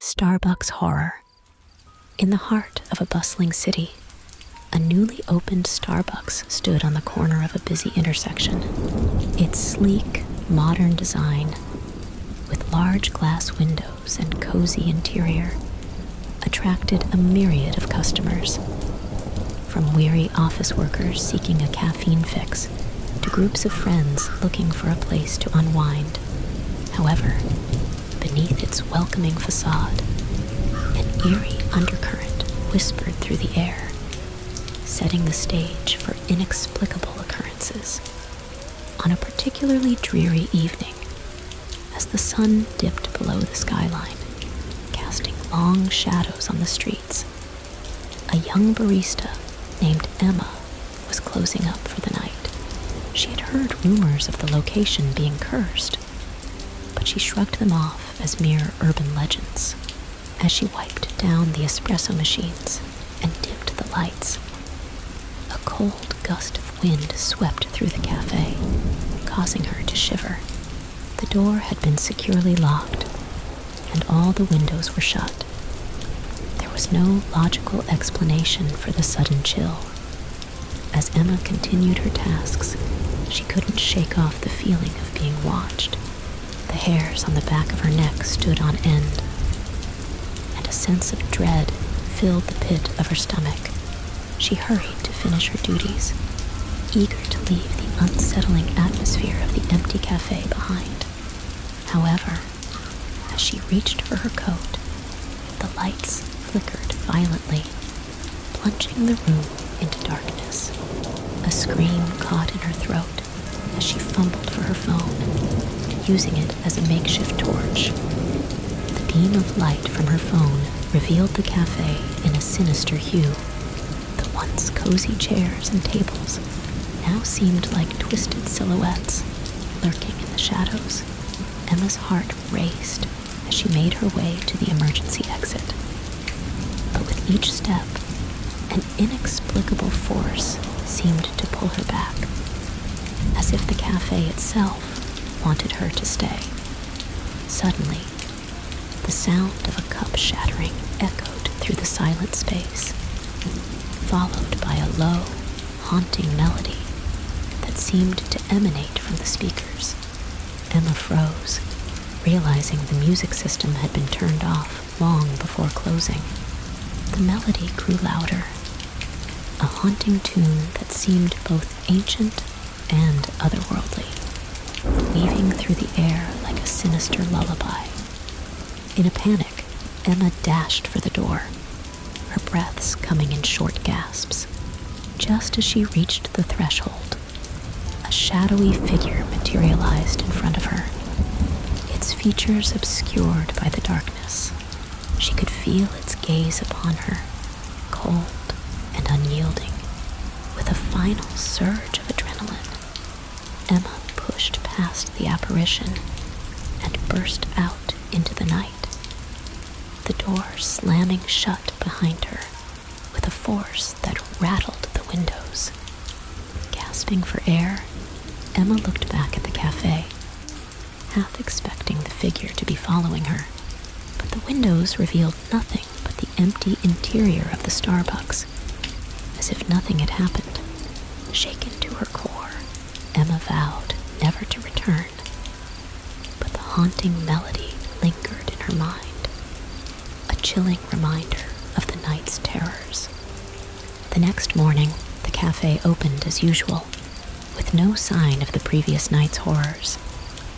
Starbucks horror. In the heart of a bustling city, a newly opened Starbucks stood on the corner of a busy intersection. Its sleek, modern design, with large glass windows and cozy interior, attracted a myriad of customers. From weary office workers seeking a caffeine fix to groups of friends looking for a place to unwind However, beneath its welcoming facade, an eerie undercurrent whispered through the air, setting the stage for inexplicable occurrences. On a particularly dreary evening, as the sun dipped below the skyline, casting long shadows on the streets, a young barista named Emma was closing up for the night. She had heard rumors of the location being cursed, but she shrugged them off as mere urban legends. As she wiped down the espresso machines and dimmed the lights, a cold gust of wind swept through the cafe, causing her to shiver. The door had been securely locked, and all the windows were shut. There was no logical explanation for the sudden chill. As Emma continued her tasks, she couldn't shake off the feeling of being watched. The hairs on the back of her neck stood on end, and a sense of dread filled the pit of her stomach. She hurried to finish her duties, eager to leave the unsettling atmosphere of the empty cafe behind. However, as she reached for her coat, the lights flickered violently, plunging the room into darkness. A scream caught in her throat as she fumbled for her phone, using it as a makeshift torch. The beam of light from her phone revealed the cafe in a sinister hue. The once cozy chairs and tables now seemed like twisted silhouettes lurking in the shadows. Emma's heart raced as she made her way to the emergency exit. But with each step, an inexplicable force seemed to pull her back, as if the cafe itself wanted her to stay. Suddenly, the sound of a cup shattering echoed through the silent space, followed by a low, haunting melody that seemed to emanate from the speakers. Emma froze, realizing the music system had been turned off long before closing. The melody grew louder, a haunting tune that seemed both ancient and otherworldly, weaving through the air like a sinister lullaby. In a panic, Emma dashed for the door, her breaths coming in short gasps. Just as she reached the threshold, a shadowy figure materialized in front of her, its features obscured by the darkness. She could feel its gaze upon her, cold and unyielding. With a final surge of adrenaline, Emma pushed past the apparition and burst out into the night the door slamming shut behind her with a force that rattled the windows. Gasping for air, Emma looked back at the cafe, half expecting the figure to be following her, but the windows revealed nothing but the empty interior of the Starbucks, as if nothing had happened. Shaken to her core, Emma vowed never to return, but the haunting melody lingered in her mind, a chilling reminder of the night's terrors. The next morning, the cafe opened as usual, with no sign of the previous night's horrors.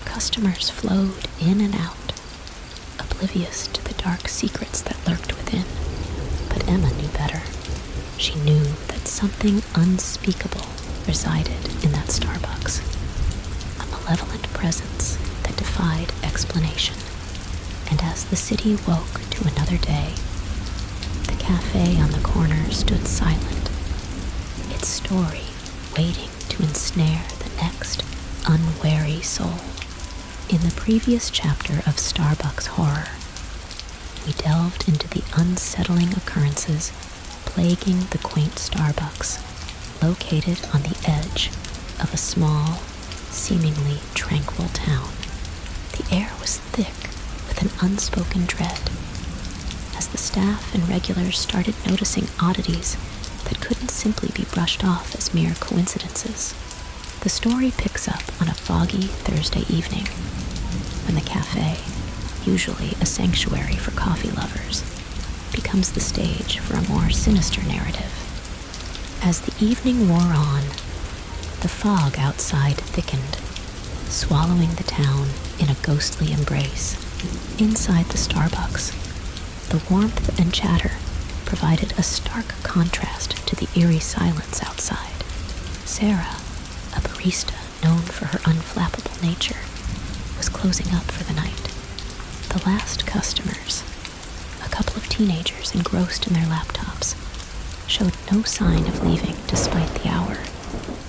Customers flowed in and out, oblivious to the dark secrets that lurked within, but Emma knew better. She knew that something unspeakable resided in that Starbucks, a malevolent presence that defied explanation. And as the city woke to another day, the cafe on the corner stood silent, its story waiting to ensnare the next unwary soul. In the previous chapter of Starbucks Horror, we delved into the unsettling occurrences plaguing the quaint Starbucks, located on the edge of a small, seemingly tranquil town. The air was thick with an unspoken dread. As the staff and regulars started noticing oddities that couldn't simply be brushed off as mere coincidences, the story picks up on a foggy Thursday evening when the cafe, usually a sanctuary for coffee lovers, becomes the stage for a more sinister narrative. As the evening wore on, the fog outside thickened, swallowing the town in a ghostly embrace. Inside the Starbucks, the warmth and chatter provided a stark contrast to the eerie silence outside. Sarah, a barista known for her unflappable nature, was closing up for the night. The last customers, a couple of teenagers engrossed in their laptops, showed no sign of leaving despite the hour.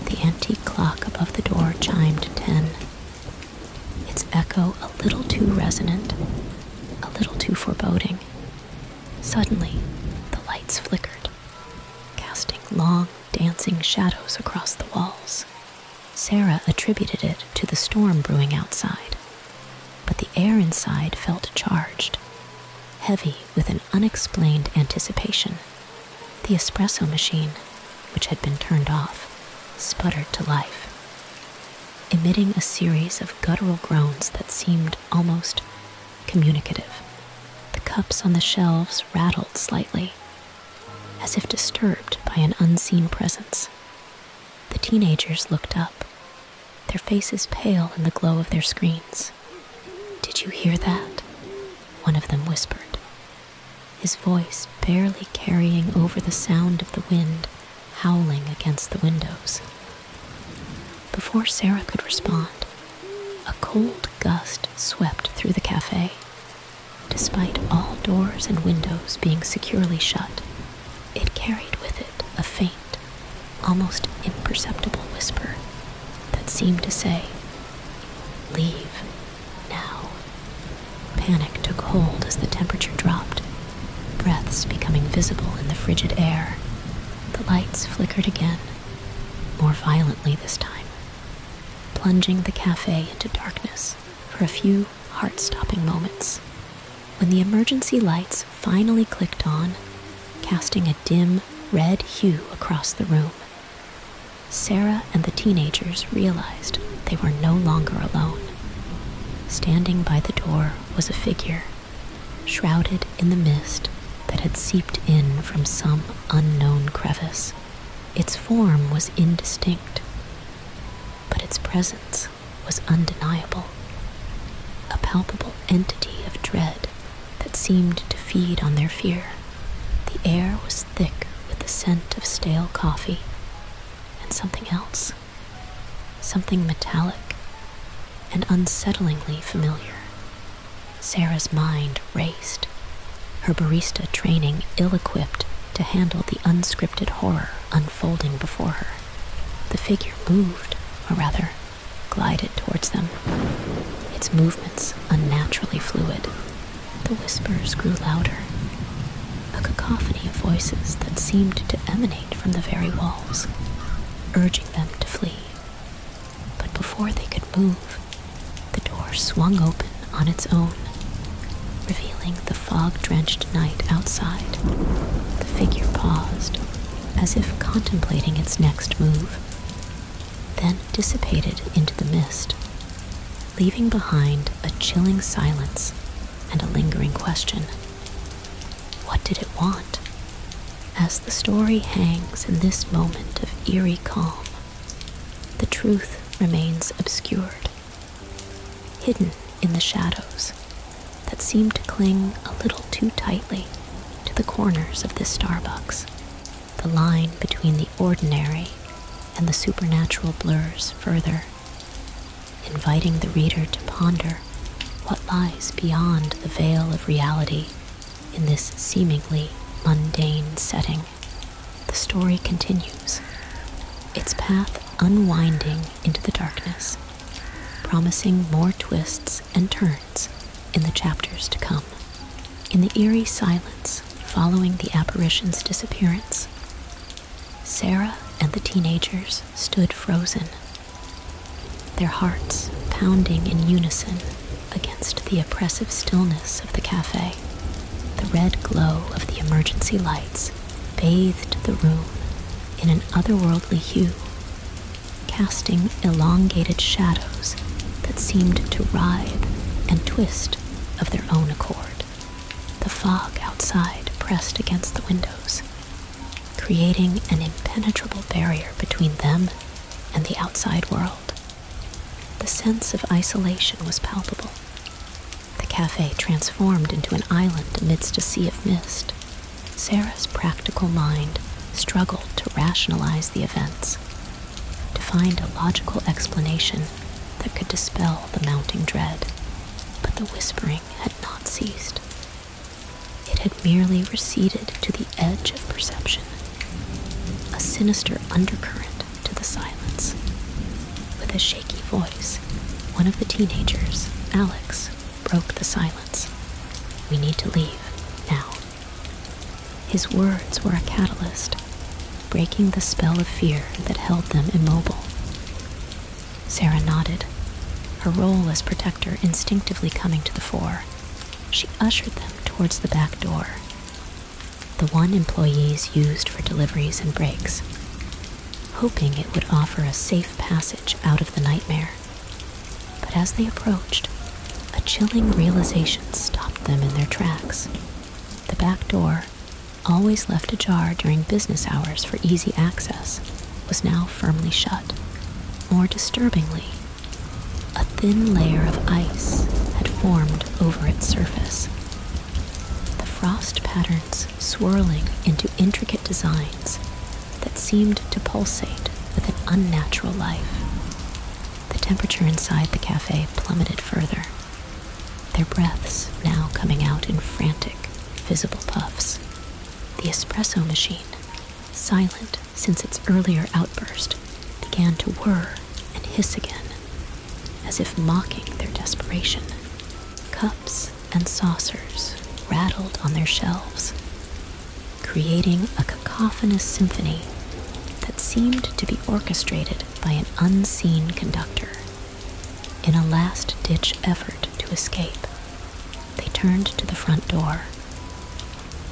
The antique clock above the door chimed ten. Its echo a little too resonant, a little too foreboding. Suddenly, the lights flickered casting long, dancing shadows across the walls. Sarah attributed it to the storm brewing outside, but the air inside felt charged, heavy with an unexplained anticipation. The espresso machine, which had been turned off, sputtered to life, emitting a series of guttural groans that seemed almost communicative. The cups on the shelves rattled slightly, as if disturbed by an unseen presence. The teenagers looked up, their faces pale in the glow of their screens. Did you hear that? One of them whispered, his voice barely carrying over the sound of the wind howling against the windows. Before Sarah could respond, a cold gust swept through the cafe. Despite all doors and windows being securely shut, it carried with it a faint, almost imperceptible whisper that seemed to say, Leave now. Panic took hold as the temperature dropped, breaths becoming visible in the frigid air. The lights flickered again more violently this time, plunging the cafe into darkness for a few heart stopping moments. When the emergency lights finally clicked on, casting a dim red hue across the room, Sarah and the teenagers realized they were no longer alone. Standing by the door was a figure shrouded in the mist that had seeped in from some unknown crevice. Its form was indistinct, but its presence was undeniable. A palpable entity of dread that seemed to feed on their fear. The air was thick with the scent of stale coffee and something else, something metallic and unsettlingly familiar. Sarah's mind raced, her barista training ill equipped to handle the unscripted horror unfolding before her. The figure moved, or rather, glided towards them, its movements unnaturally fluid. The whispers grew louder, a cacophony of voices that seemed to emanate from the very walls, urging them to flee but before they could move, the door swung open on its own, revealing the fog drenched night outside. The figure paused, as if contemplating its next move, then dissipated into the mist, leaving behind a chilling silence and a lingering question. What did it want? As the story hangs in this moment of eerie calm, the truth remains obscured, hidden in the shadows that seem to cling a little too tightly to the corners of this Starbucks. The line between the ordinary and the supernatural blurs further, inviting the reader to ponder what lies beyond the veil of reality in this seemingly mundane setting. The story continues, its path unwinding into the darkness, promising more twists and turns in the chapters to come. In the eerie silence following the apparition's disappearance, Sarah and the teenagers stood frozen, their hearts pounding in unison against the oppressive stillness of the cafe. The red glow of the emergency lights bathed the room in an otherworldly hue, casting elongated shadows that seemed to writhe and twist of their own accord. The fog outside pressed against the windows, creating an impenetrable barrier between them and the outside world. The sense of isolation was palpable. The cafe transformed into an island amidst a sea of mist. Sarah's practical mind struggled to rationalize the events, to find a logical explanation that could dispel the mounting dread. But the whispering had not ceased. It had merely receded to the edge of perception, a sinister undercurrent to the silence. With a shaky voice, one of the teenagers, Alex, broke the silence. We need to leave, now. His words were a catalyst, breaking the spell of fear that held them immobile. Sarah nodded, her role as protector instinctively coming to the fore. She ushered them towards the back door, the one employees used for deliveries and breaks, hoping it would offer a safe passage out of the nightmare. But as they approached, a chilling realization stopped them in their tracks. The back door, always left ajar during business hours for easy access, was now firmly shut. More disturbingly, a thin layer of ice had formed over its surface, the frost patterns swirling into intricate designs that seemed to pulsate with an unnatural life. The temperature inside the cafe plummeted further, their breaths now coming out in frantic, visible puffs. The espresso machine, silent since its earlier outburst began to whir and hiss again, as if mocking their desperation. Cups and saucers rattled on their shelves, creating a cacophonous symphony that seemed to be orchestrated by an unseen conductor. In a last ditch effort to escape, they turned to the front door,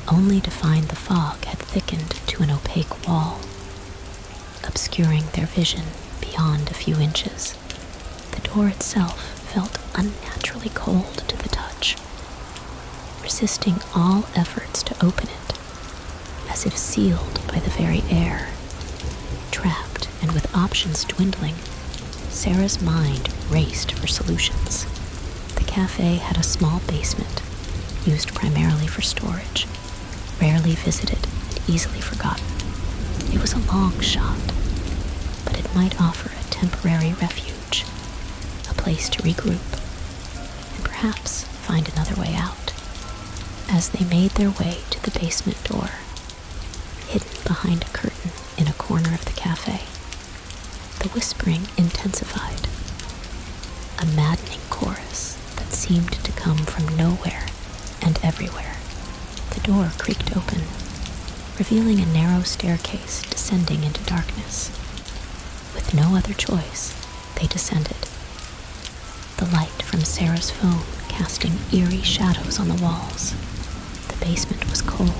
only to find the fog had thickened to an opaque wall, obscuring their vision beyond a few inches. The door itself felt unnaturally cold to the touch, resisting all efforts to open it, as if sealed by the very air. Trapped and with options dwindling, Sarah's mind raced for solutions. The cafe had a small basement, used primarily for storage, rarely visited and easily forgotten. It was a long shot, but it might offer a temporary refuge, a place to regroup, and perhaps find another way out. As they made their way to the basement door, hidden behind a curtain in a corner of the cafe, the whispering intensified, a maddening chorus that seemed to come from nowhere and everywhere. The door creaked open, revealing a narrow staircase descending into darkness. With no other choice, they descended. The light from Sarah's phone casting eerie shadows on the walls. The basement was cold,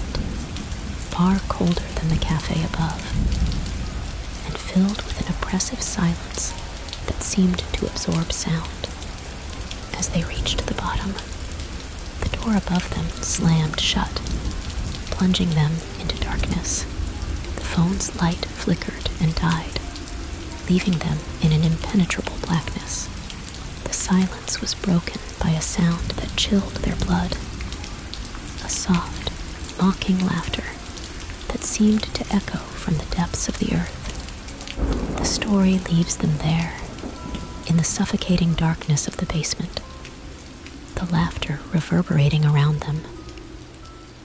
far colder than the cafe above, and filled with an oppressive silence that seemed to absorb sound. As they reached the bottom, the door above them slammed shut, plunging them into darkness. The phone's light flickered and died, leaving them in an impenetrable blackness. The silence was broken by a sound that chilled their blood a soft, mocking laughter that seemed to echo from the depths of the earth. The story leaves them there, in the suffocating darkness of the basement, the laughter reverberating around them,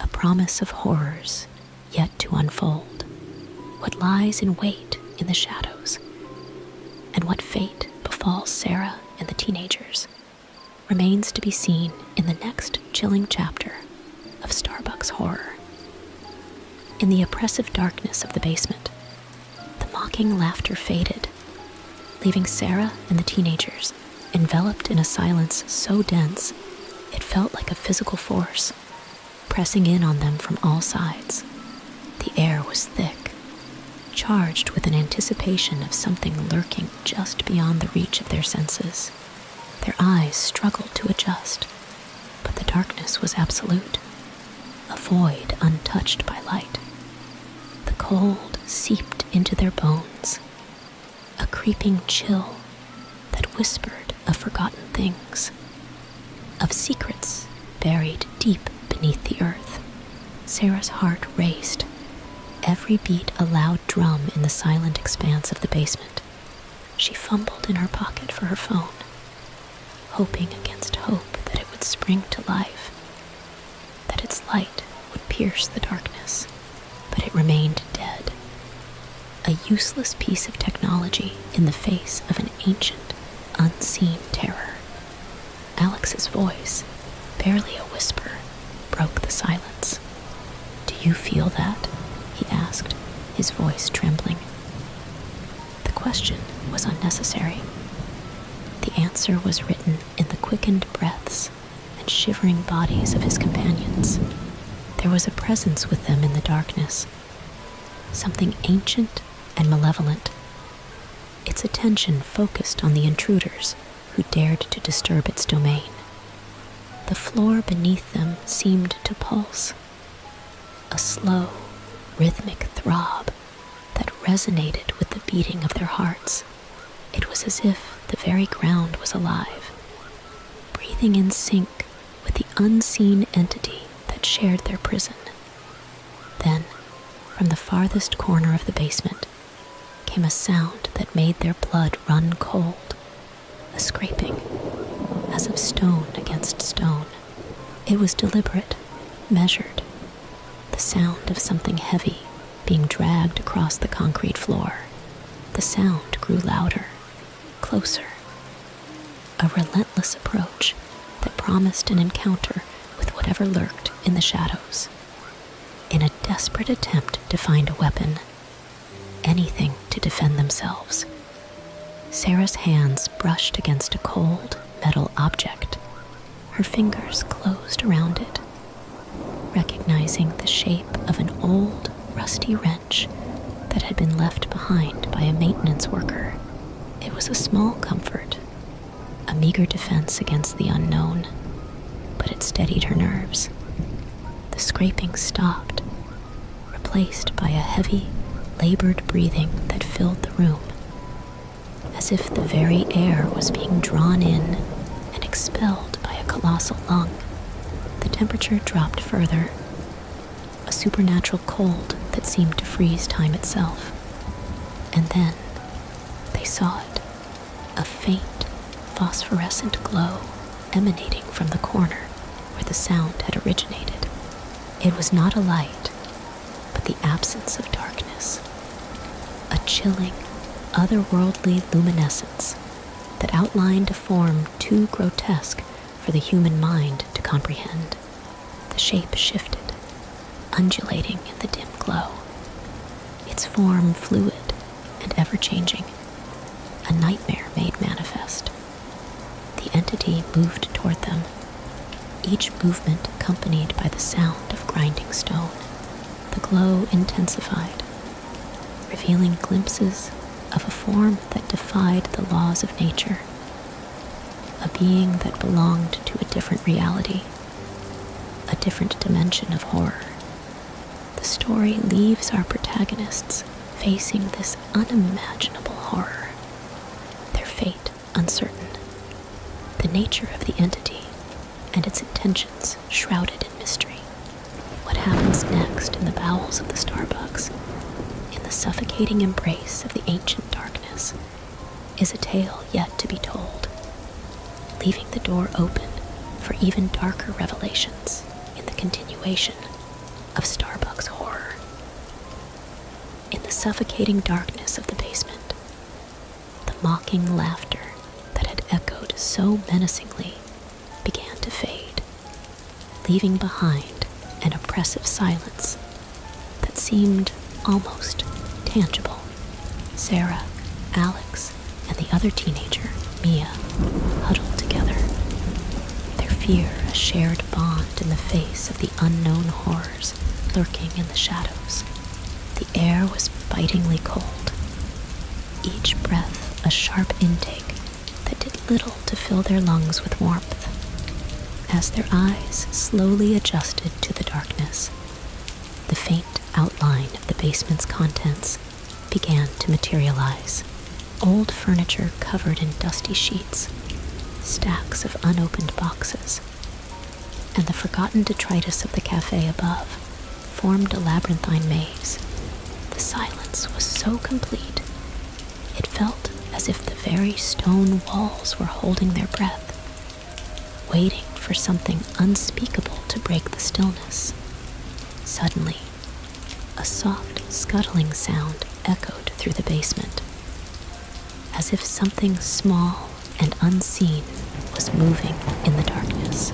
a promise of horrors yet to unfold, what lies in wait in the shadows, and what fate befalls Sarah and the teenagers remains to be seen in the next chilling chapter of Starbucks horror. In the oppressive darkness of the basement, the mocking laughter faded, leaving Sarah and the teenagers enveloped in a silence so dense it felt like a physical force pressing in on them from all sides. The air was thick, charged with an anticipation of something lurking just beyond the reach of their senses. Their eyes struggled to adjust, but the darkness was absolute, a void untouched by light. The cold seeped into their bones, a creeping chill that whispered of forgotten things, of secrets buried deep beneath the earth. Sarah's heart raced, every beat a loud drum in the silent expanse of the basement. She fumbled in her pocket for her phone, hoping against hope that it would spring to life, that its light would pierce the darkness, but it remained dead. A useless piece of technology in the face of an ancient, unseen terror. Alex's voice, barely a whisper, broke the silence. Do you feel that? he asked, his voice trembling. The question was unnecessary. The answer was written in the quickened breaths and shivering bodies of his companions. There was a presence with them in the darkness, something ancient and malevolent. Its attention focused on the intruders who dared to disturb its domain. The floor beneath them seemed to pulse, a slow, rhythmic throb that resonated with the beating of their hearts. It was as if the very ground was alive, breathing in sync with the unseen entity that shared their prison. Then, from the farthest corner of the basement, came a sound that made their blood run cold, a scraping, as of stone against stone. It was deliberate, measured, the sound of something heavy being dragged across the concrete floor. The sound grew louder, closer, a relentless approach that promised an encounter with whatever lurked in the shadows in a desperate attempt to find a weapon, anything to defend themselves. Sarah's hands brushed against a cold metal object. Her fingers closed around it. Recognizing the shape of an old, rusty wrench that had been left behind by a maintenance worker, it was a small comfort a meager defense against the unknown, but it steadied her nerves. The scraping stopped, replaced by a heavy, labored breathing that filled the room, as if the very air was being drawn in and expelled by a colossal lung. The temperature dropped further, a supernatural cold that seemed to freeze time itself. And then they saw it a faint phosphorescent glow emanating from the corner where the sound had originated. It was not a light, but the absence of darkness, a chilling, otherworldly luminescence that outlined a form too grotesque for the human mind to comprehend. The shape shifted, undulating in the dim glow, its form fluid and ever changing, a nightmare made manifest. The entity moved toward them, each movement accompanied by the sound of grinding stone. The glow intensified, revealing glimpses of a form that defied the laws of nature, a being that belonged to a different reality a different dimension of horror. The story leaves our protagonists facing this unimaginable horror, their fate uncertain, the nature of the entity and its intentions shrouded in mystery. What happens next in the bowels of the Starbucks, in the suffocating embrace of the ancient darkness, is a tale yet to be told, leaving the door open for even darker revelations in the continuation of Starbucks horror. In the suffocating darkness of the basement, the mocking laughter that had echoed so menacingly began to fade, leaving behind an oppressive silence that seemed almost tangible. Sarah, Alex, and the other teenager, Mia, huddled together, their fear a shared bond in the face of the unknown horrors lurking in the shadows. The air was bitingly cold, each breath a sharp intake that did little to fill their lungs with warmth. As their eyes slowly adjusted to the darkness, the faint outline of the basement's contents began to materialize. Old furniture covered in dusty sheets, stacks of unopened boxes, and the forgotten detritus of the cafe above formed a labyrinthine maze. The silence was so complete, it felt as if the very stone walls were holding their breath waiting for something unspeakable to break the stillness. Suddenly, a soft scuttling sound echoed through the basement, as if something small and unseen was moving in the darkness.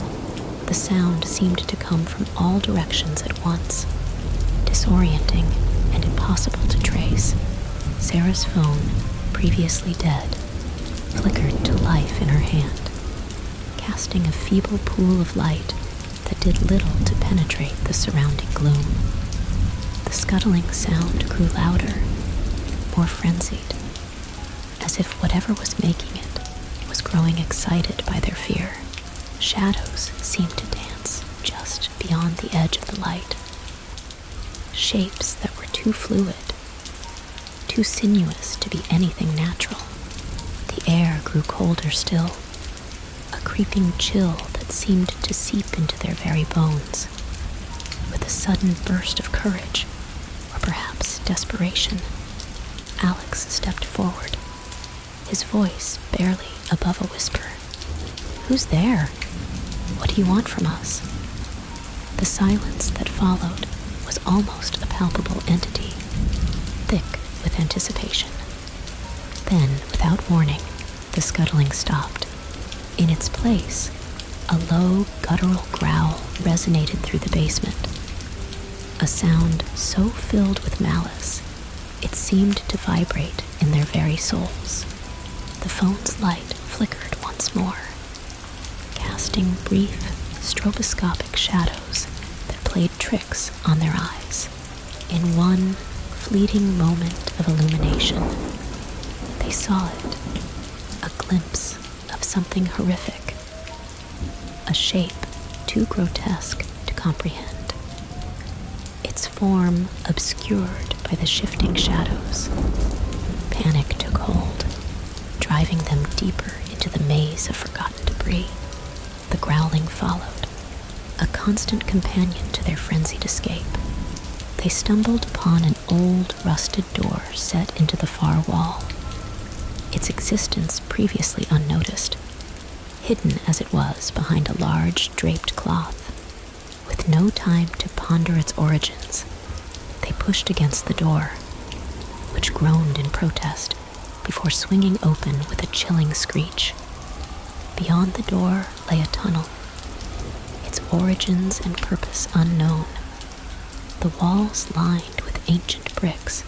The sound seemed to come from all directions at once, disorienting and impossible to trace. Sarah's phone, previously dead, flickered to life in her hand, casting a feeble pool of light that did little to penetrate the surrounding gloom. The scuttling sound grew louder, more frenzied, as if whatever was making it was growing excited by their fear. Shadows seemed to dance just beyond the edge of the light, shapes that were too fluid, too sinuous to be anything natural. The air grew colder still, a creeping chill that seemed to seep into their very bones. With a sudden burst of courage, or perhaps desperation, Alex stepped forward, his voice barely above a whisper. Who's there? What do you want from us? The silence that followed was almost a palpable entity, thick with anticipation. Then, without warning, the scuttling stopped. In its place, a low, guttural growl resonated through the basement. A sound so filled with malice, it seemed to vibrate in their very souls. The phone's light flickered once more, casting brief stroboscopic shadows that played tricks on their eyes. In one fleeting moment of illumination, they saw it a glimpse of something horrific, a shape too grotesque to comprehend, its form obscured by the shifting shadows. Panic took hold driving them deeper into the maze of forgotten debris. The growling followed, a constant companion to their frenzied escape. They stumbled upon an old, rusted door set into the far wall, its existence previously unnoticed, hidden as it was behind a large, draped cloth. With no time to ponder its origins, they pushed against the door, which groaned in protest before swinging open with a chilling screech. Beyond the door lay a tunnel, its origins and purpose unknown, the walls lined with ancient bricks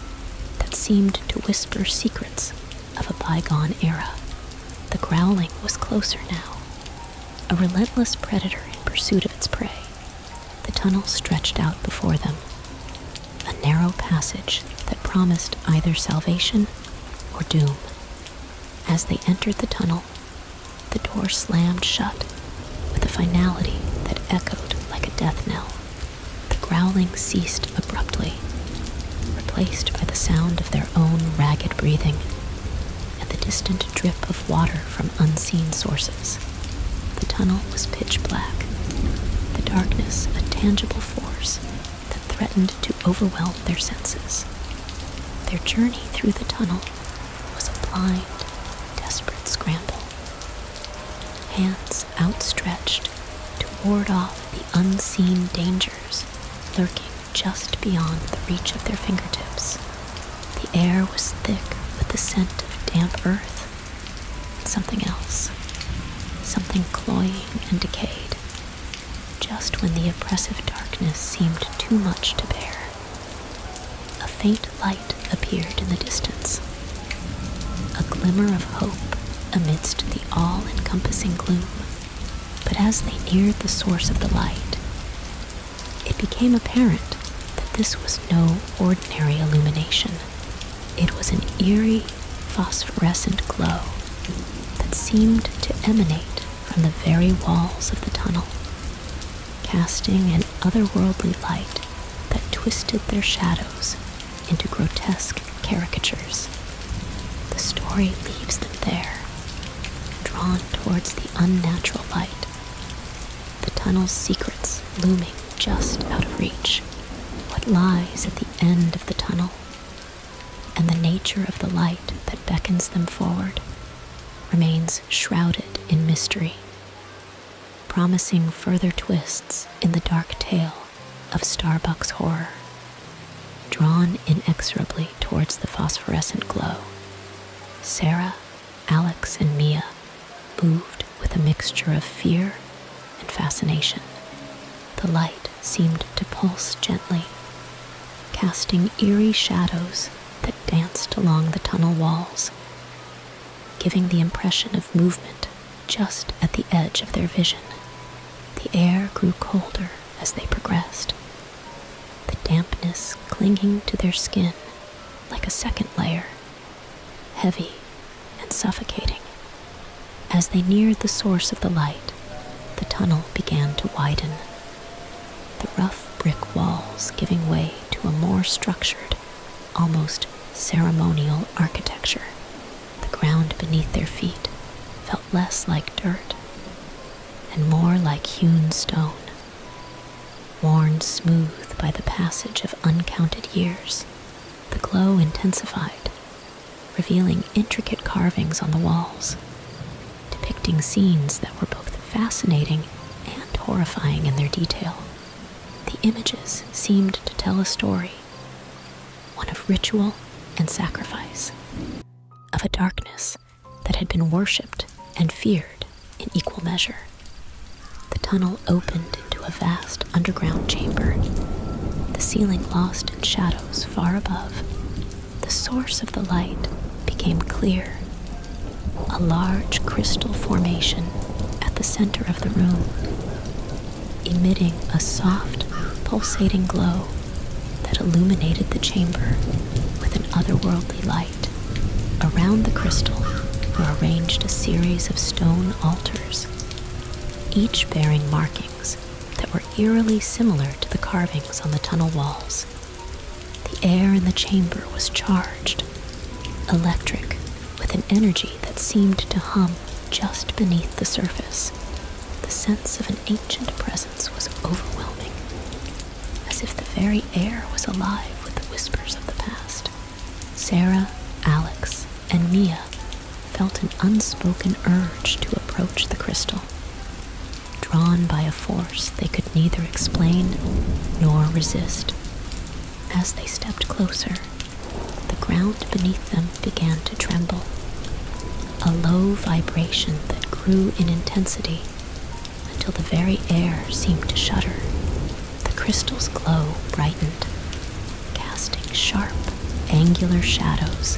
that seemed to whisper secrets of a bygone era. The growling was closer now, a relentless predator in pursuit of its prey. The tunnel stretched out before them, a narrow passage that promised either salvation or doom. As they entered the tunnel, the door slammed shut with a finality that echoed like a death knell. The growling ceased abruptly, replaced by the sound of their own ragged breathing and the distant drip of water from unseen sources. The tunnel was pitch black, the darkness a tangible force that threatened to overwhelm their senses. Their journey through the tunnel was a blind, desperate scramble. Hands outstretched to ward off the unseen dangers lurking just beyond the reach of their fingertips. The air was thick with the scent of damp earth. Something else. Something cloying and decayed. Just when the oppressive darkness seemed too much to bear, a faint light appeared in the distance. A glimmer of hope amidst the all encompassing gloom. But as they neared the source of the light, it became apparent that this was no ordinary illumination. It was an eerie phosphorescent glow that seemed to emanate from the very walls of the tunnel, casting an otherworldly light that twisted their shadows into grotesque caricatures. The story leaves them there, drawn towards the unnatural light, the tunnel's secrets looming just out of reach. What lies at the end of the tunnel, and the nature of the light that beckons them forward remains shrouded in mystery, promising further twists in the dark tale of Starbucks horror. Drawn inexorably towards the phosphorescent glow, Sarah Alex and Mia moved with a mixture of fear and fascination. The light seemed to pulse gently, casting eerie shadows that danced along the tunnel walls, giving the impression of movement just at the edge of their vision. The air grew colder as they progressed, the dampness clinging to their skin like a second layer, heavy and suffocating. As they neared the source of the light, the tunnel began to widen, the rough brick walls giving way to a more structured, almost ceremonial architecture. The ground beneath their feet felt less like dirt and more like hewn stone. Worn smooth by the passage of uncounted years, the glow intensified, revealing intricate carvings on the walls, depicting scenes that were both fascinating and horrifying in their detail. The images seemed to tell a story, one of ritual and sacrifice, of a darkness that had been worshipped and feared in equal measure. The tunnel opened into a vast underground chamber, the ceiling lost in shadows far above. The source of the light became clear. A large crystal formation at the center of the room, emitting a soft, pulsating glow that illuminated the chamber with an otherworldly light. Around the crystal were arranged a series of stone altars, each bearing markings that were eerily similar to the carvings on the tunnel walls. The air in the chamber was charged, electric, with an energy that seemed to hum just beneath the surface. The sense of an ancient presence was overwhelming as if the very air was alive with the whispers of the past. Sarah, Alex, and Mia felt an unspoken urge to approach the crystal, drawn by a force they could neither explain nor resist. As they stepped closer, the ground beneath them began to tremble, a low vibration that grew in intensity until the very air seemed to shudder. The crystal's glow brightened, casting sharp, angular shadows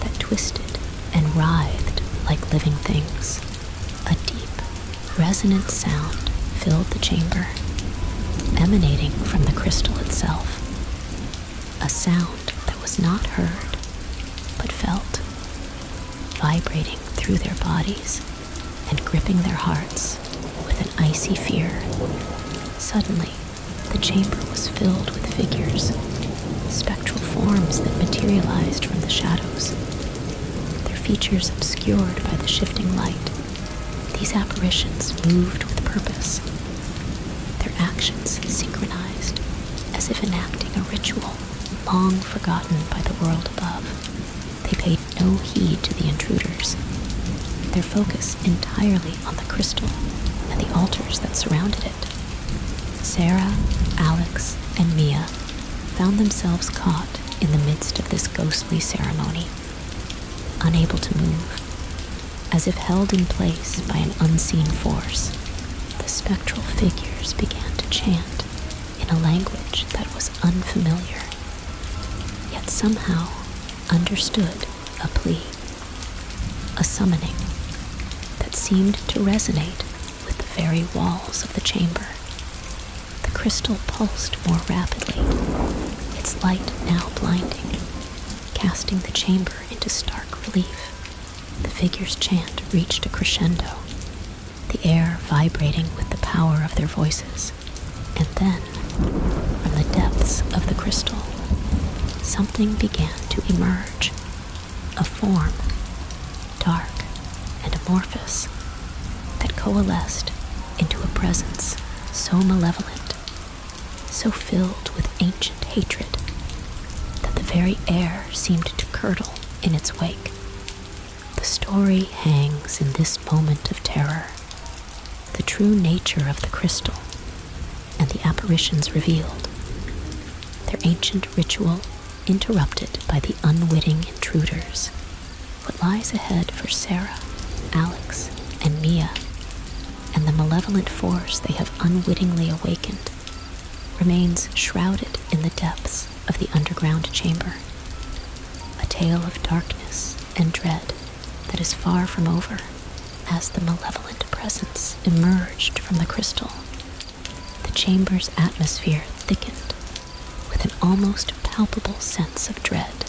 that twisted and writhed like living things. A deep, resonant sound filled the chamber, emanating from the crystal itself. A sound that was not heard, but felt, vibrating through their bodies and gripping their hearts with an icy fear. Suddenly, the chamber was filled with figures, spectral forms that materialized from the shadows, their features obscured by the shifting light. These apparitions moved with purpose, their actions synchronized, as if enacting a ritual long forgotten by the world above. They paid no heed to the intruders, their focus entirely on the crystal and the altars that surrounded it. Sarah, Alex, and Mia found themselves caught in the midst of this ghostly ceremony, unable to move, as if held in place by an unseen force. The spectral figures began to chant in a language that was unfamiliar yet somehow understood a plea, a summoning that seemed to resonate with the very walls of the chamber. The crystal pulsed more rapidly, its light now blinding, casting the chamber into stark relief. The figure's chant reached a crescendo, the air vibrating with the power of their voices. And then, from the depths of the crystal, something began to emerge a form, dark and amorphous, that coalesced into a presence so malevolent, so filled with ancient hatred, that the very air seemed to curdle in its wake. The story hangs in this moment of terror. The true nature of the crystal and the apparitions revealed. Their ancient ritual interrupted by the unwitting intruders. What lies ahead for Sarah, Alex, and Mia, and the malevolent force they have unwittingly awakened, remains shrouded in the depths of the underground chamber. A tale of darkness and dread that is far from over as the malevolent presence emerged from the crystal. The chamber's atmosphere thickened with an almost palpable sense of dread.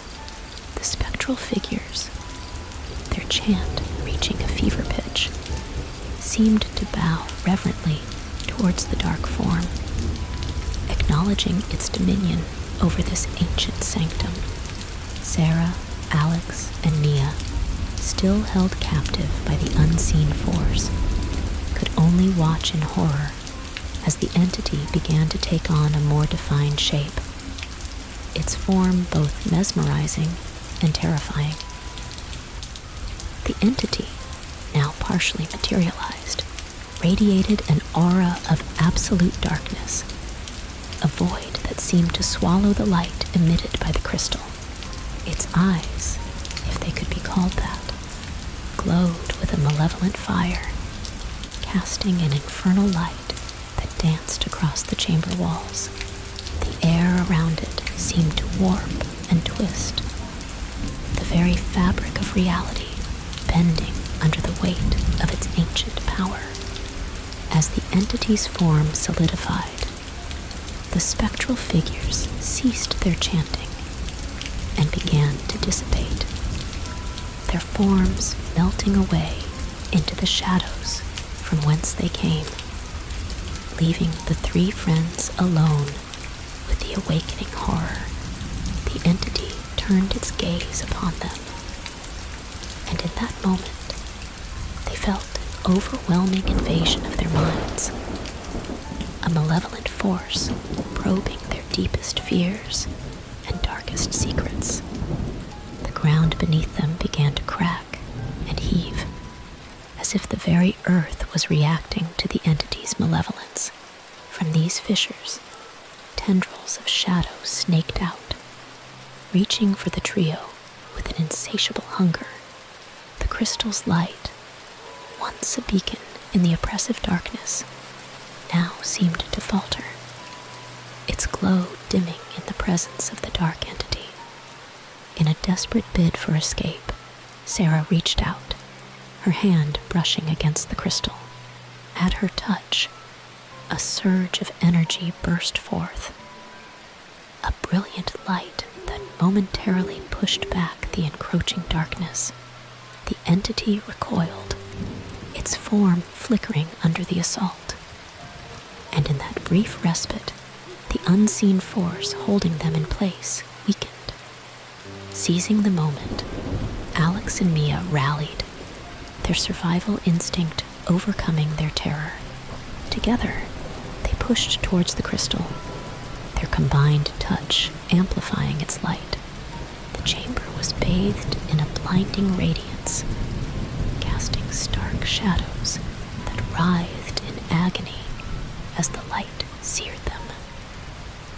The spectral figures, their chant reaching a fever pitch, seemed to bow reverently towards the dark form, acknowledging its dominion over this ancient sanctum. Sarah, Alex, and Nia, still held captive by the unseen force, could only watch in horror as the entity began to take on a more defined shape, its form both mesmerizing and terrifying. The entity, now partially materialized, radiated an aura of absolute darkness, a void that seemed to swallow the light emitted by the crystal. Its eyes, if they could be called that, glowed with a malevolent fire, casting an infernal light that danced across the chamber walls. The air around it seemed to warp and twist the very fabric of reality bending under the weight of its ancient power. As the entity's form solidified, the spectral figures ceased their chanting and began to dissipate, their forms melting away into the shadows from whence they came, leaving the three friends alone with the awakening horror, the entity turned its gaze upon them. And in that moment, they felt an overwhelming invasion of their minds. A malevolent force probing their deepest fears and darkest secrets. The ground beneath them began to crack and heave, as if the very earth was reacting to the entity's malevolence. From these fissures, tendrils of shadow snaked out, reaching for the trio with an insatiable hunger. The crystal's light, once a beacon in the oppressive darkness, now seemed to falter, its glow dimming in the presence of the dark entity. In a desperate bid for escape, Sarah reached out, her hand brushing against the crystal. At her touch, a surge of energy burst forth. A brilliant light that momentarily pushed back the encroaching darkness. The entity recoiled, its form flickering under the assault. And in that brief respite, the unseen force holding them in place weakened. Seizing the moment, Alex and Mia rallied, their survival instinct overcoming their terror. Together, they pushed towards the crystal, their combined touch amplifying its light. The chamber was bathed in a blinding radiance, casting stark shadows that writhed in agony as the light seared them.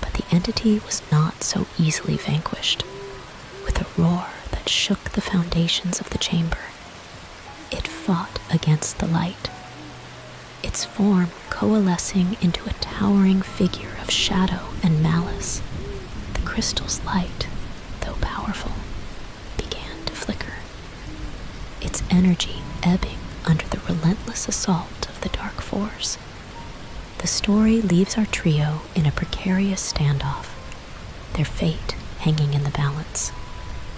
But the entity was not so easily vanquished. With a roar that shook the foundations of the chamber, it fought against the light, its form coalescing into a towering figure of shadow and malice. The crystal's light, though powerful, began to flicker, its energy ebbing under the relentless assault of the dark force. The story leaves our trio in a precarious standoff, their fate hanging in the balance.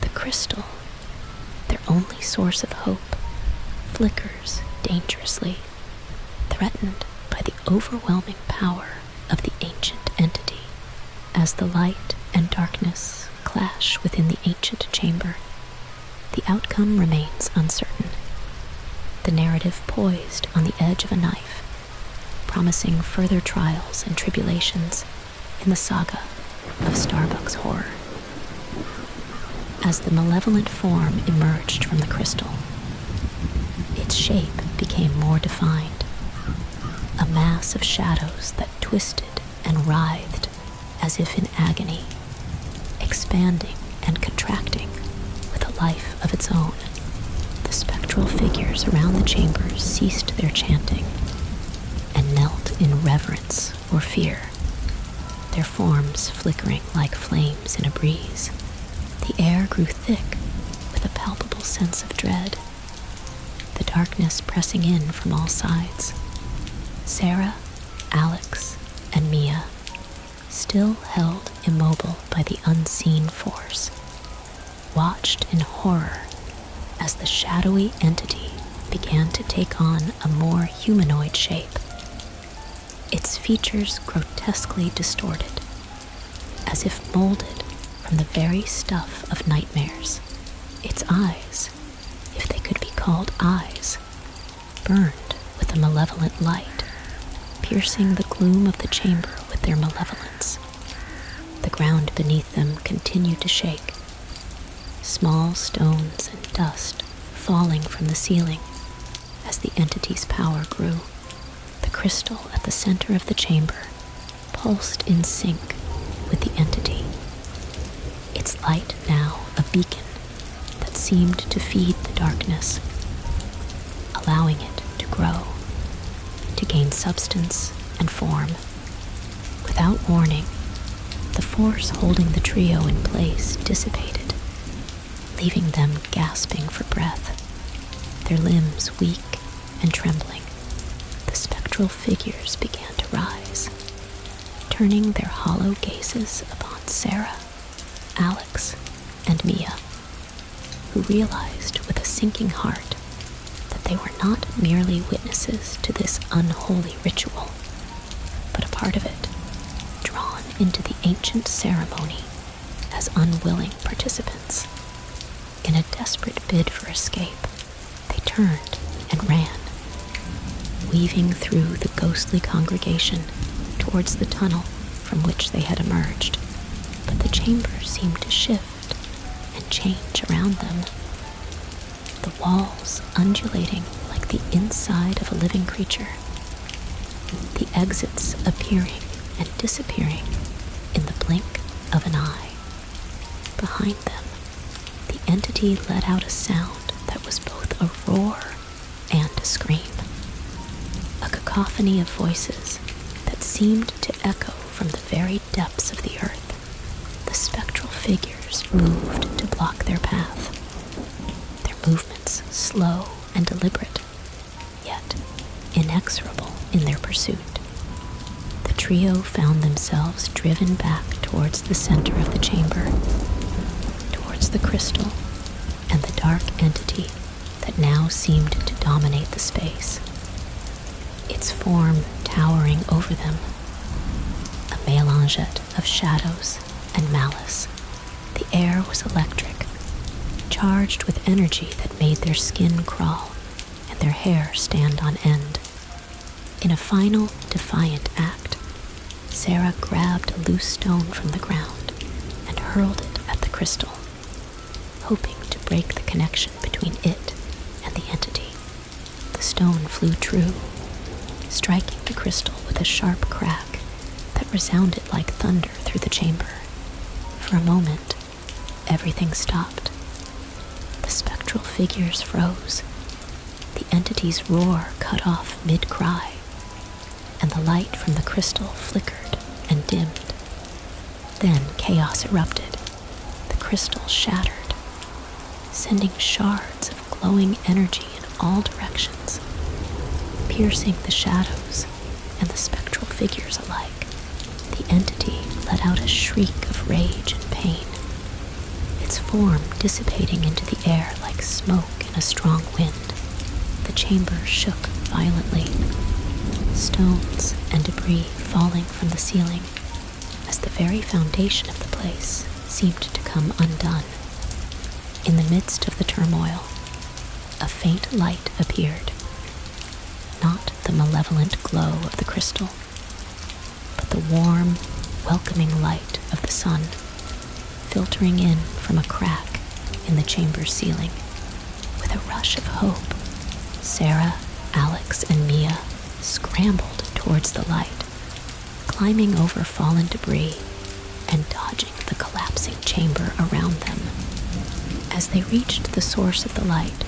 The crystal, their only source of hope, flickers dangerously, threatened by the overwhelming power of the ancient entity. As the light and darkness clash within the ancient chamber, the outcome remains uncertain. The narrative poised on the edge of a knife, promising further trials and tribulations in the saga of Starbucks horror. As the malevolent form emerged from the crystal, its shape became more defined, a mass of shadows that twisted and writhed as if in agony expanding and contracting with a life of its own. The spectral figures around the chamber ceased their chanting and knelt in reverence or fear, their forms flickering like flames in a breeze. The air grew thick with a palpable sense of dread, the darkness pressing in from all sides. Sarah, Alex, and Mia still held immobile by the unseen force, watched in horror as the shadowy entity began to take on a more humanoid shape, its features grotesquely distorted, as if molded from the very stuff of nightmares. Its eyes, if they could be called eyes, burned with a malevolent light, piercing the gloom of the chamber with their malevolence. The ground beneath them continued to shake, small stones and dust falling from the ceiling as the entity's power grew. The crystal at the center of the chamber pulsed in sync with the entity, its light now a beacon that seemed to feed the darkness, allowing it to grow, to gain substance and form. Without warning, the force holding the trio in place dissipated, leaving them gasping for breath, their limbs weak and trembling. The spectral figures began to rise, turning their hollow gazes upon Sarah Alex and Mia, who realized with a sinking heart that they were not merely witnesses to this unholy ritual, but a part of it, drawn into the ancient ceremony as unwilling participants. In a desperate bid for escape, they turned and ran, weaving through the ghostly congregation towards the tunnel from which they had emerged, but the chamber seemed to shift and change around them. The walls undulating like the inside of a living creature, the exits appearing and disappearing in the blink of an eye. Behind them, the entity let out a sound that was both a roar and a scream. A cacophony of voices that seemed to echo from the very depths of the earth. The spectral figures moved to block their path, their movements slow and deliberate, yet inexorable in their pursuit. The trio found themselves driven back towards the center of the chamber, towards the crystal and the dark entity that now seemed to dominate the space, its form towering over them. A mélange of shadows and malice. The air was electric, charged with energy that made their skin crawl and their hair stand on end. In a final defiant act, Sarah grabbed a loose stone from the ground and hurled it at the crystal, hoping to break the connection between it and the entity. The stone flew true, striking the crystal with a sharp crack that resounded like thunder through the chamber. For a moment, everything stopped. The spectral figures froze. The entity's roar cut off mid cry, and the light from the crystal flickered and dimmed. Then chaos erupted. The crystal shattered, sending shards of glowing energy in all directions, piercing the shadows and the spectral figures alike. The entity let out a shriek of rage and pain, its form dissipating into the air like smoke in a strong wind. The chamber shook violently, stones and debris falling from the ceiling as the very foundation of the place seemed to come undone. In the midst of the turmoil, a faint light appeared. Not the malevolent glow of the crystal, but the warm, welcoming light of the sun filtering in from a crack in the chamber ceiling. With a rush of hope, Sarah, Alex, and Mia scrambled towards the light, climbing over fallen debris and dodging the collapsing chamber around them. As they reached the source of the light,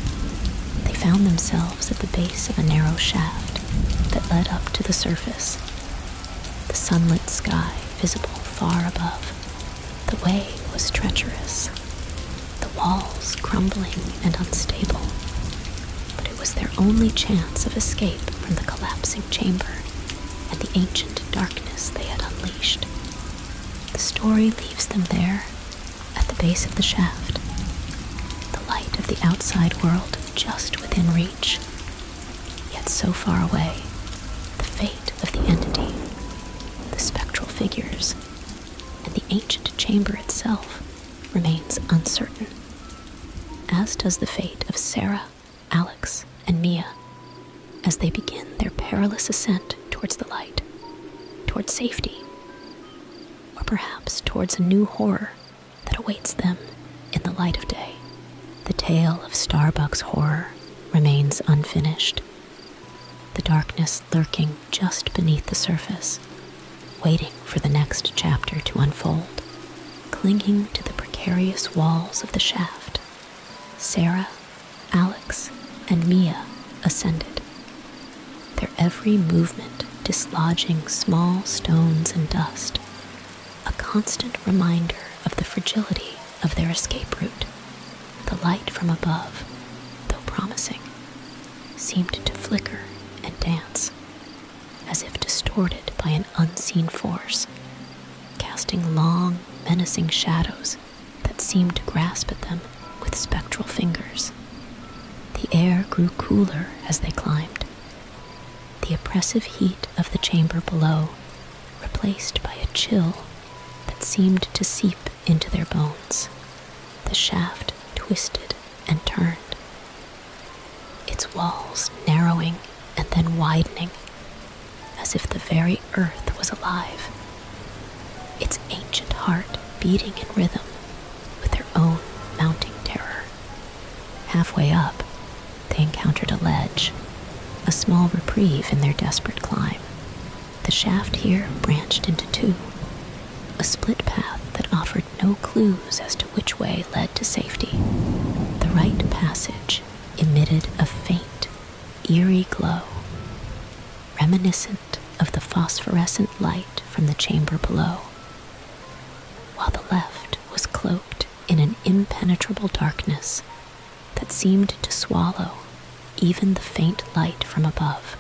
they found themselves at the base of a narrow shaft that led up to the surface. The sunlit sky visible far above. The way was treacherous, the walls crumbling and unstable, but it was their only chance of escape from the collapsing chamber and the ancient darkness they had unleashed. The story leaves them there, at the base of the shaft, the light of the outside world just within reach, yet so far away, the fate of the entity, the spectral figures, and the ancient chamber itself remains uncertain, as does the fate of Sarah, Alex, and Mia as they begin their perilous ascent towards the light, towards safety, or perhaps towards a new horror that awaits them in the light of day. The tale of Starbucks horror remains unfinished, the darkness lurking just beneath the surface, waiting for the next chapter to unfold. Clinging to the precarious walls of the shaft, Sarah, Alex, and Mia ascended, their every movement dislodging small stones and dust a constant reminder of the fragility of their escape route. The light from above, though promising, seemed to flicker and dance, as if distorted by an unseen force, casting long, menacing shadows that seemed to grasp at them with spectral fingers. The air grew cooler as they climbed. The oppressive heat of the chamber below replaced by a chill that seemed to seep into their bones. The shaft twisted and turned, its walls narrowing and then widening, as if the very earth was alive, its ancient heart beating in rhythm with their own mounting terror. Halfway up, they encountered a ledge, a small reprieve in their desperate climb. The shaft here branched into two, a split path that offered no clues as to which way led to safety. The right passage emitted a faint, eerie glow, reminiscent of the phosphorescent light from the chamber below, while the left was cloaked in an impenetrable darkness that seemed to swallow even the faint light from above.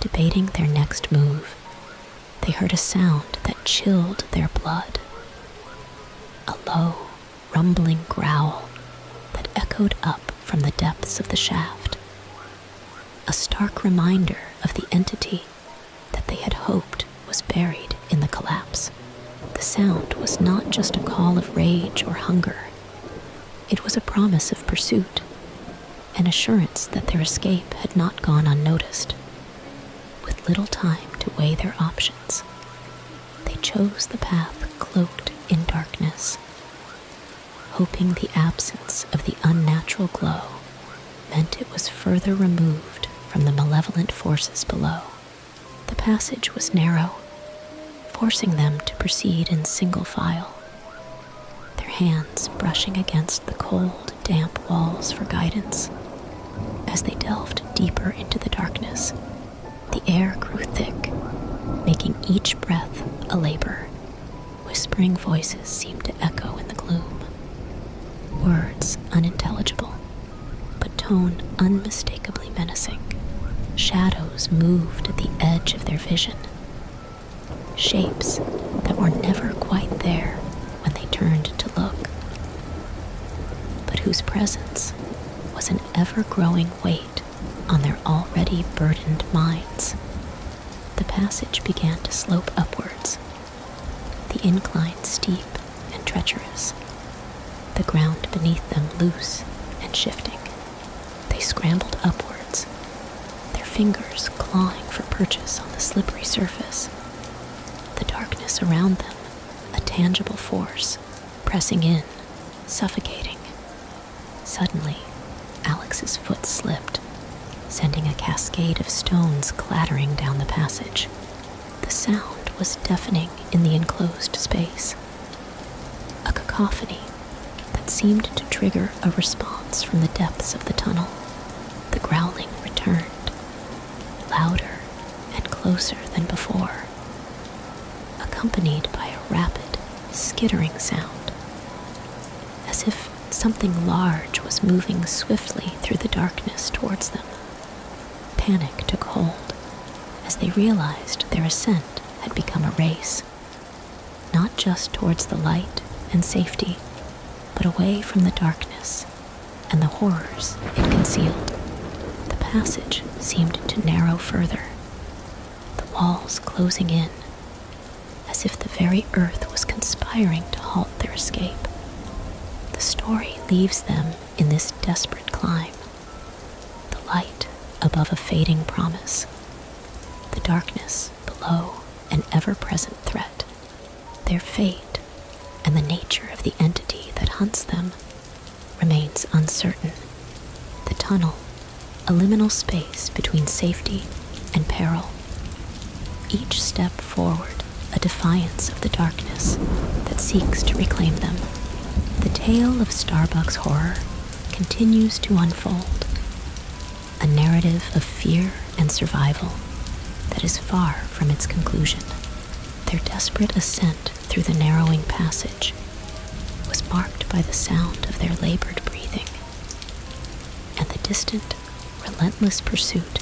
Debating their next move, they heard a sound that chilled their blood a low, rumbling growl that echoed up from the depths of the shaft. A stark reminder of the entity that they had hoped was buried in the collapse. The sound was not just a call of rage or hunger, it was a promise of pursuit, an assurance that their escape had not gone unnoticed. With little time to weigh their options, they chose the path cloaked in darkness, hoping the absence of the unnatural glow meant it was further removed from the malevolent forces below. The passage was narrow, forcing them to proceed in single file, their hands brushing against the cold, damp walls for guidance. As they delved deeper into the darkness, the air grew thick, making each breath a labor. Whispering voices seemed to echo in the gloom, words unintelligible but tone unmistakably menacing. Shadows moved at the edge of their vision. Shapes that were never quite there when they turned to look, but whose presence was an ever growing weight on their already burdened minds. The passage began to slope upwards, the incline steep and treacherous, the ground beneath them loose and shifting. They scrambled upwards, their fingers clawing for purchase on the slippery surface. The darkness around them, a tangible force, pressing in, suffocating. Suddenly, Alex's foot slipped, sending a cascade of stones clattering down the passage. The sound was deafening in the enclosed space, a cacophony that seemed to trigger a response from the depths of the tunnel. The growling returned, louder and closer than before, accompanied by a rapid, skittering sound, as if something large was moving swiftly through the darkness towards them. Panic took hold as they realized their ascent had become a race, not just towards the light and safety, but away from the darkness and the horrors it concealed. The passage seemed to narrow further, the walls closing in, as if the very earth was conspiring to halt their escape. The story leaves them in this desperate climb. The light above a fading promise, the darkness below an ever present threat, their fate and the nature of the entity that hunts them remains uncertain. The tunnel, a liminal space between safety and peril. Each step forward a defiance of the darkness that seeks to reclaim them. The tale of Starbucks horror continues to unfold, a narrative of fear and survival that is far from its conclusion. Their desperate ascent through the narrowing passage was marked by the sound of their labored breathing and the distant, relentless pursuit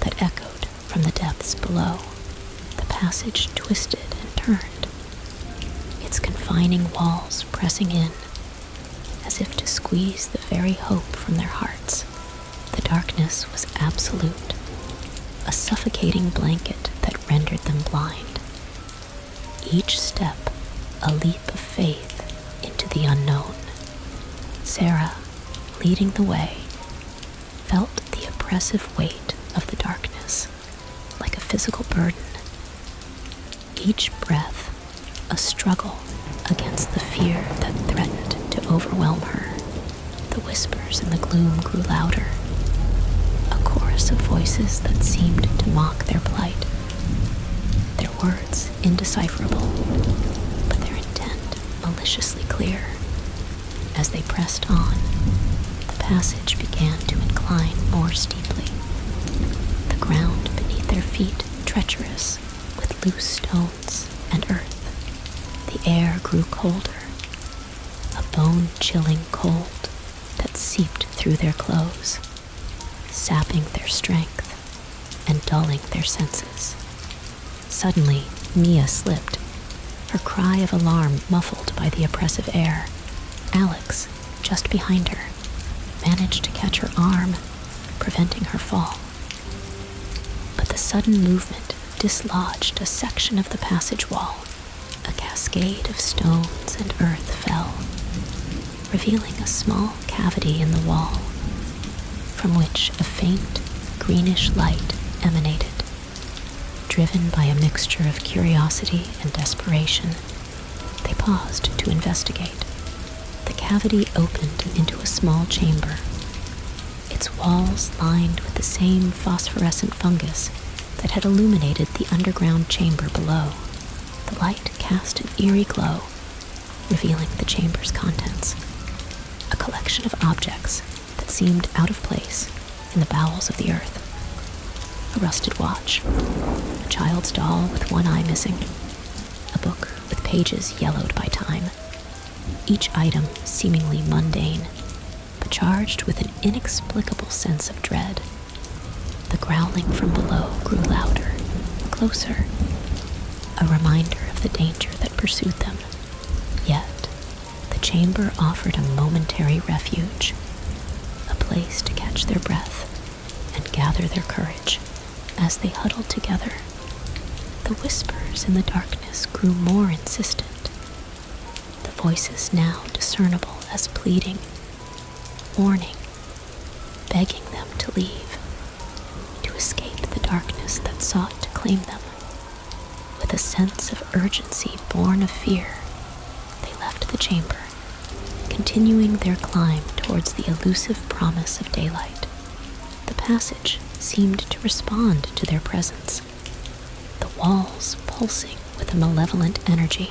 that echoed from the depths below. The passage twisted and turned, its confining walls pressing in as if to squeeze the very hope from their hearts. The darkness was absolute, a suffocating blanket that rendered them blind. Each step a leap of faith into the unknown. Sarah leading the way, felt the oppressive weight of the darkness like a physical burden. Each breath, a struggle against the fear that threatened to overwhelm her. The whispers in the gloom grew louder, a chorus of voices that seemed to mock their plight, their words indecipherable, but their intent maliciously clear. As they pressed on, the passage began to incline more steeply, the ground beneath their feet treacherous with loose stones and earth. The air grew colder, a bone chilling cold that seeped through their clothes, sapping their strength and dulling their senses. Suddenly, Mia slipped, her cry of alarm muffled by the oppressive air. Alex, just behind her, managed to catch her arm, preventing her fall. But the sudden movement dislodged a section of the passage wall. A cascade of stones and earth fell, revealing a small cavity in the wall, from which a faint, greenish light emanated. Driven by a mixture of curiosity and desperation, they paused to investigate. The cavity opened into a small chamber, its walls lined with the same phosphorescent fungus that had illuminated the underground chamber below. The light cast an eerie glow, revealing the chamber's contents a collection of objects that seemed out of place in the bowels of the earth a rusted watch, a child's doll with one eye missing, a book with pages yellowed by time, each item seemingly mundane, but charged with an inexplicable sense of dread. The growling from below grew louder, closer, a reminder of the danger that pursued them. Yet, the chamber offered a momentary refuge, a place to catch their breath and gather their courage as they huddled together. The whispers in the darkness grew more insistent, the voices now discernible as pleading, warning, begging them to leave, to escape the darkness that sought to claim them. With a sense of urgency born of fear, they left the chamber, continuing their climb towards the elusive promise of daylight. The passage seemed to respond to their presence, the walls pulsing with a malevolent energy,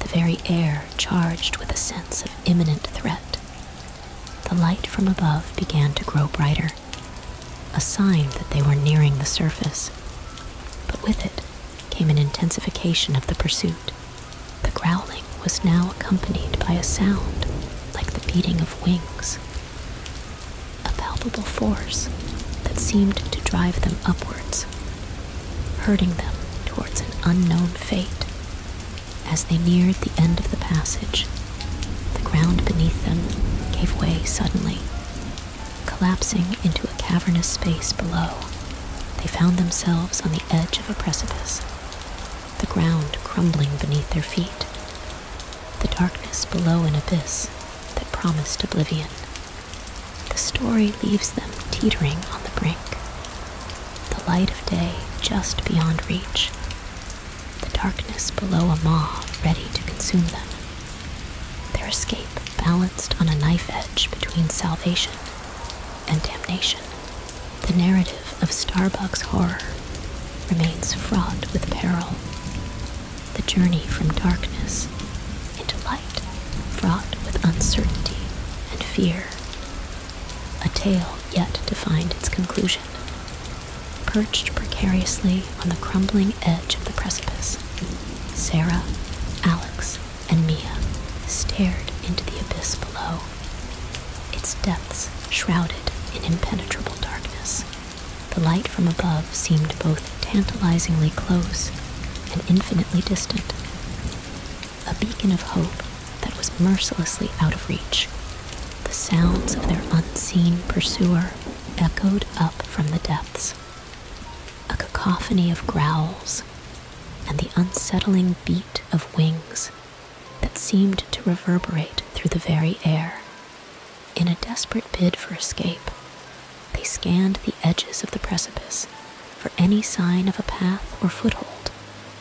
the very air charged with a sense of imminent threat. The light from above began to grow brighter, a sign that they were nearing the surface. But with it came an intensification of the pursuit. The growling was now accompanied by a sound like the beating of wings, a palpable force that seemed to drive them upwards, hurting them towards an unknown fate. As they neared the end of the passage, the ground beneath them gave way suddenly. Collapsing into a cavernous space below, they found themselves on the edge of a precipice, the ground crumbling beneath their feet, the darkness below an abyss that promised oblivion. The story leaves them teetering on the brink, the light of day just beyond reach, the darkness below a maw ready to consume them. Their escape balanced on a knife edge between salvation and damnation. The narrative of Starbuck's horror remains fraught with peril. The journey from darkness into light, fraught with uncertainty and fear. A tale yet to find its conclusion. Perched precariously on the crumbling edge of the precipice, Sarah, Alex, and Mia stared into the abyss below, its depths shrouded in impenetrable darkness. The light from above seemed both tantalizingly close and infinitely distant, a beacon of hope that was mercilessly out of reach. The sounds of their unseen pursuer echoed up from the depths. A cacophony of growls and the unsettling beat of wings that seemed to reverberate through the very air. In a desperate bid for escape, they scanned the edges of the precipice for any sign of a path or foothold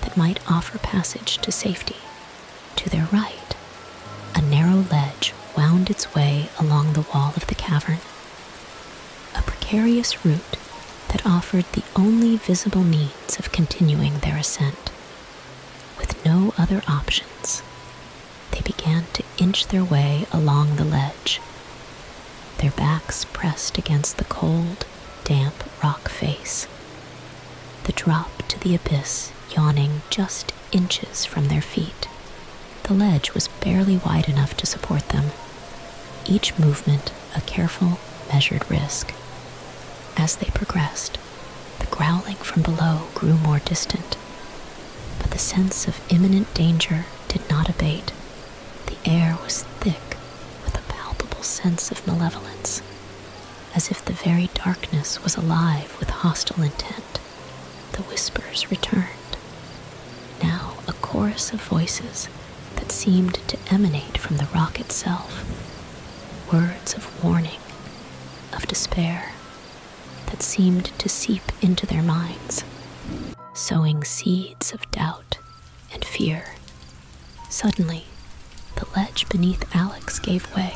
that might offer passage to safety. To their right, a narrow ledge wound its way along the wall of the cavern, a precarious route that offered the only visible means of continuing their ascent. With no other options, they began to inch their way along the ledge, their backs pressed against the cold, damp rock face, the drop to the abyss yawning just inches from their feet. The ledge was barely wide enough to support them, each movement a careful, measured risk. As they progressed, the growling from below grew more distant, but the sense of imminent danger did not abate. The air was thick with a palpable sense of malevolence, as if the very darkness was alive with hostile intent. The whispers returned, now a chorus of voices that seemed to emanate from the rock itself. Words of warning, of despair, that seemed to seep into their minds, sowing seeds of doubt and fear. Suddenly, the ledge beneath Alex gave way,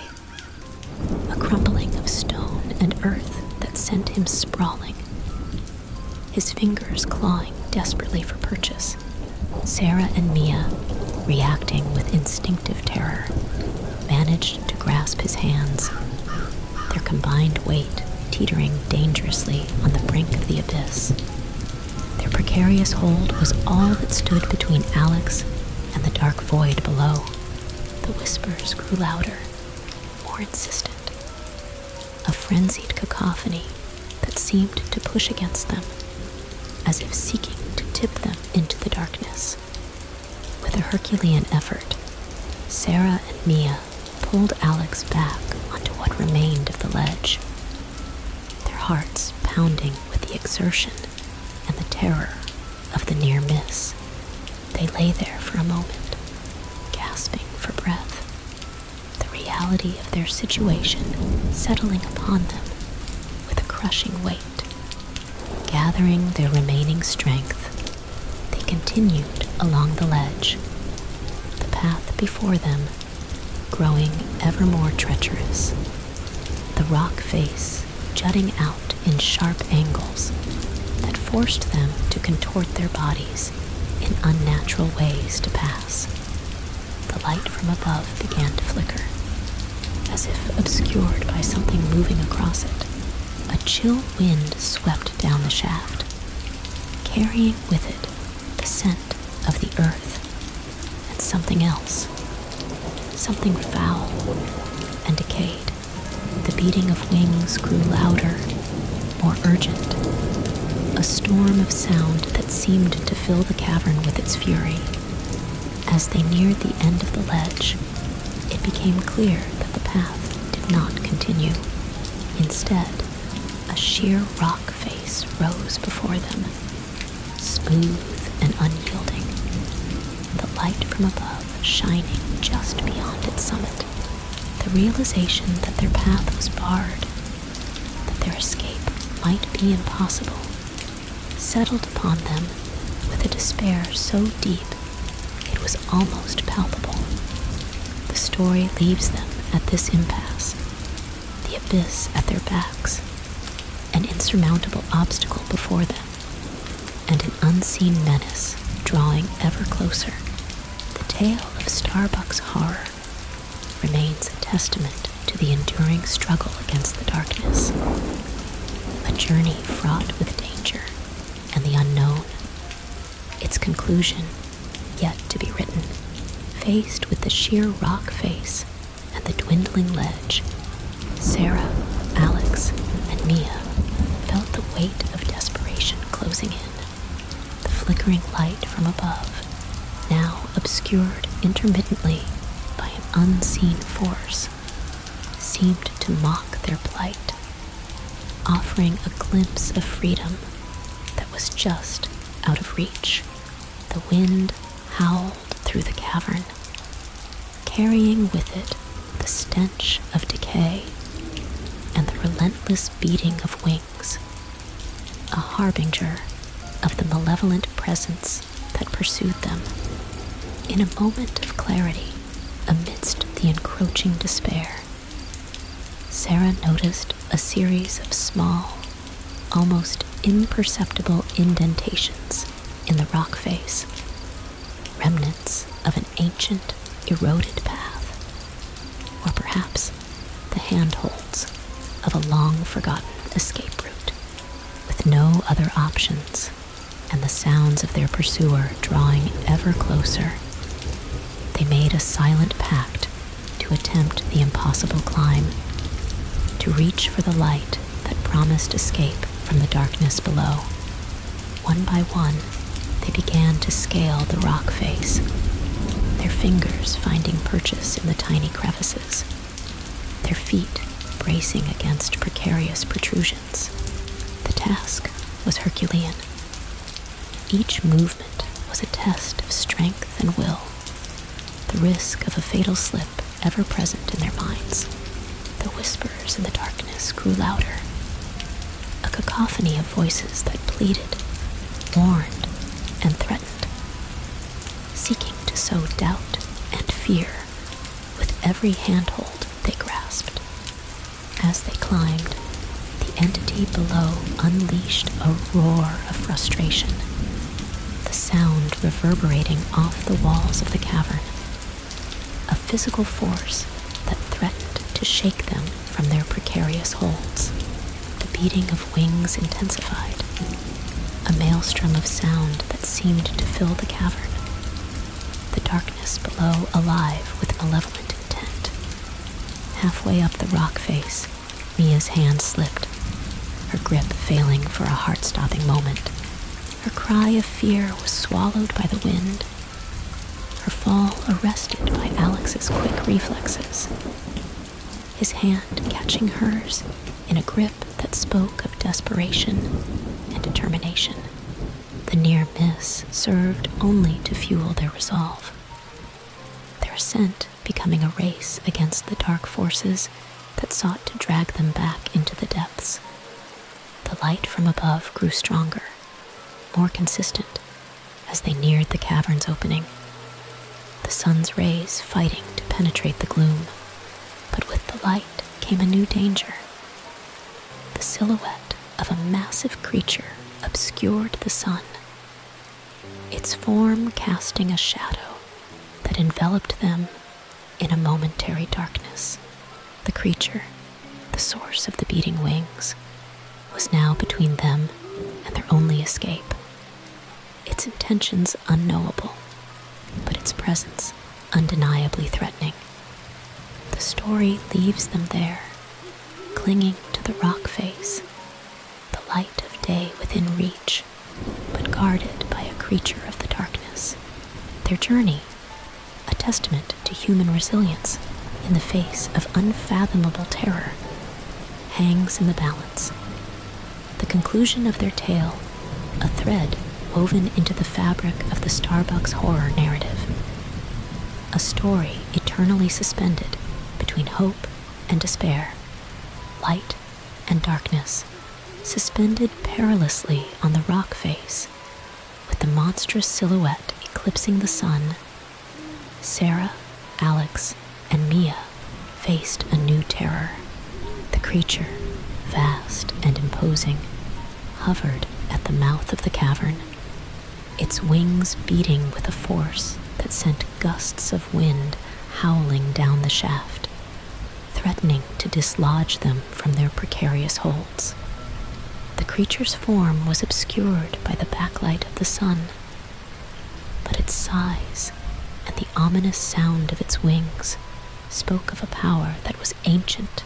a crumbling of stone and earth that sent him sprawling, his fingers clawing desperately for purchase. Sarah and Mia, reacting with instinctive terror, managed to grasp his hands, their combined weight teetering dangerously on the brink of the abyss. Their precarious hold was all that stood between Alex and the dark void below. The whispers grew louder, more insistent, a frenzied cacophony that seemed to push against them, as if seeking to tip them into the darkness. With a Herculean effort, Sarah and Mia pulled Alex back onto what remained of the ledge, their hearts pounding with the exertion and the terror of the near miss, they lay there for a moment, gasping for breath, the reality of their situation settling upon them with a crushing weight. Gathering their remaining strength, they continued along the ledge, the path before them growing ever more treacherous. The rock face jutting out in sharp angles that forced them to contort their bodies in unnatural ways to pass. The light from above began to flicker, as if obscured by something moving across it. A chill wind swept down the shaft, carrying with it the scent of the earth and something else, something foul and decayed. The beating of wings grew louder, more urgent. A storm of sound that seemed to fill the cavern with its fury. As they neared the end of the ledge, it became clear that the path did not continue. Instead, a sheer rock face rose before them, smooth and unyielding. The light from above shining just beyond its summit. The realization that their path was barred, that their escape might be impossible, settled upon them with a despair so deep it was almost palpable. The story leaves them at this impasse, the abyss at their backs, an insurmountable obstacle before them and an unseen menace drawing ever closer, the tale of Starbuck's horror remains a testament to the enduring struggle against the darkness, a journey fraught with danger and the unknown. Its conclusion, yet to be written, faced with the sheer rock face and the dwindling ledge Sarah, Alex, and Mia felt the weight of desperation closing in. The flickering light from above, now obscured intermittently by an unseen force, seemed to mock their plight, offering a glimpse of freedom that was just out of reach. The wind howled through the cavern, carrying with it the stench of decay and the relentless beating of wings, a harbinger of the malevolent presence that pursued them. In a moment of clarity, amidst the encroaching despair, Sarah noticed a series of small, almost imperceptible indentations in the rock face remnants of an ancient, eroded path, or perhaps the handholds of a long forgotten escape route, with no other options and the sounds of their pursuer drawing ever closer. They made a silent pact to attempt the impossible climb, to reach for the light that promised escape from the darkness below. One by one, they began to scale the rock face, their fingers finding purchase in the tiny crevices, their feet bracing against precarious protrusions. The task was Herculean. Each movement was a test of strength and will. The risk of a fatal slip ever present in their minds. The whispers in the darkness grew louder, a cacophony of voices that pleaded, warned, and threatened, seeking to sow doubt and fear with every handhold they grasped. As they climbed, the entity below unleashed a roar of frustration, the sound reverberating off the walls of the cavern a physical force that threatened to shake them from their precarious holds. The beating of wings intensified, a maelstrom of sound that seemed to fill the cavern, the darkness below alive with malevolent intent. Halfway up the rock face, Mia's hand slipped, her grip failing for a heart stopping moment. Her cry of fear was swallowed by the wind, her fall arrested by Alex's quick reflexes, his hand catching hers in a grip that spoke of desperation and determination. The near miss served only to fuel their resolve, their ascent becoming a race against the dark forces that sought to drag them back into the depths. The light from above grew stronger, more consistent, as they neared the cavern's opening, the sun's rays fighting to penetrate the gloom. But with the light came a new danger. The silhouette of a massive creature obscured the sun, its form casting a shadow that enveloped them in a momentary darkness. The creature, the source of the beating wings, was now between them and their only escape. Its intentions unknowable, but its presence undeniably threatening. The story leaves them there, clinging to the rock face, the light of day within reach, but guarded by a creature of the darkness. Their journey a testament to human resilience in the face of unfathomable terror, hangs in the balance. The conclusion of their tale, a thread woven into the fabric of the Starbucks horror narrative, a story eternally suspended between hope and despair, light and darkness, suspended perilously on the rock face with the monstrous silhouette eclipsing the sun, Sarah, Alex, and Mia faced a new terror. The creature, vast and imposing, hovered at the mouth of the cavern, its wings beating with a force that sent gusts of wind howling down the shaft, threatening to dislodge them from their precarious hold. The creature's form was obscured by the backlight of the sun, but its size and the ominous sound of its wings spoke of a power that was ancient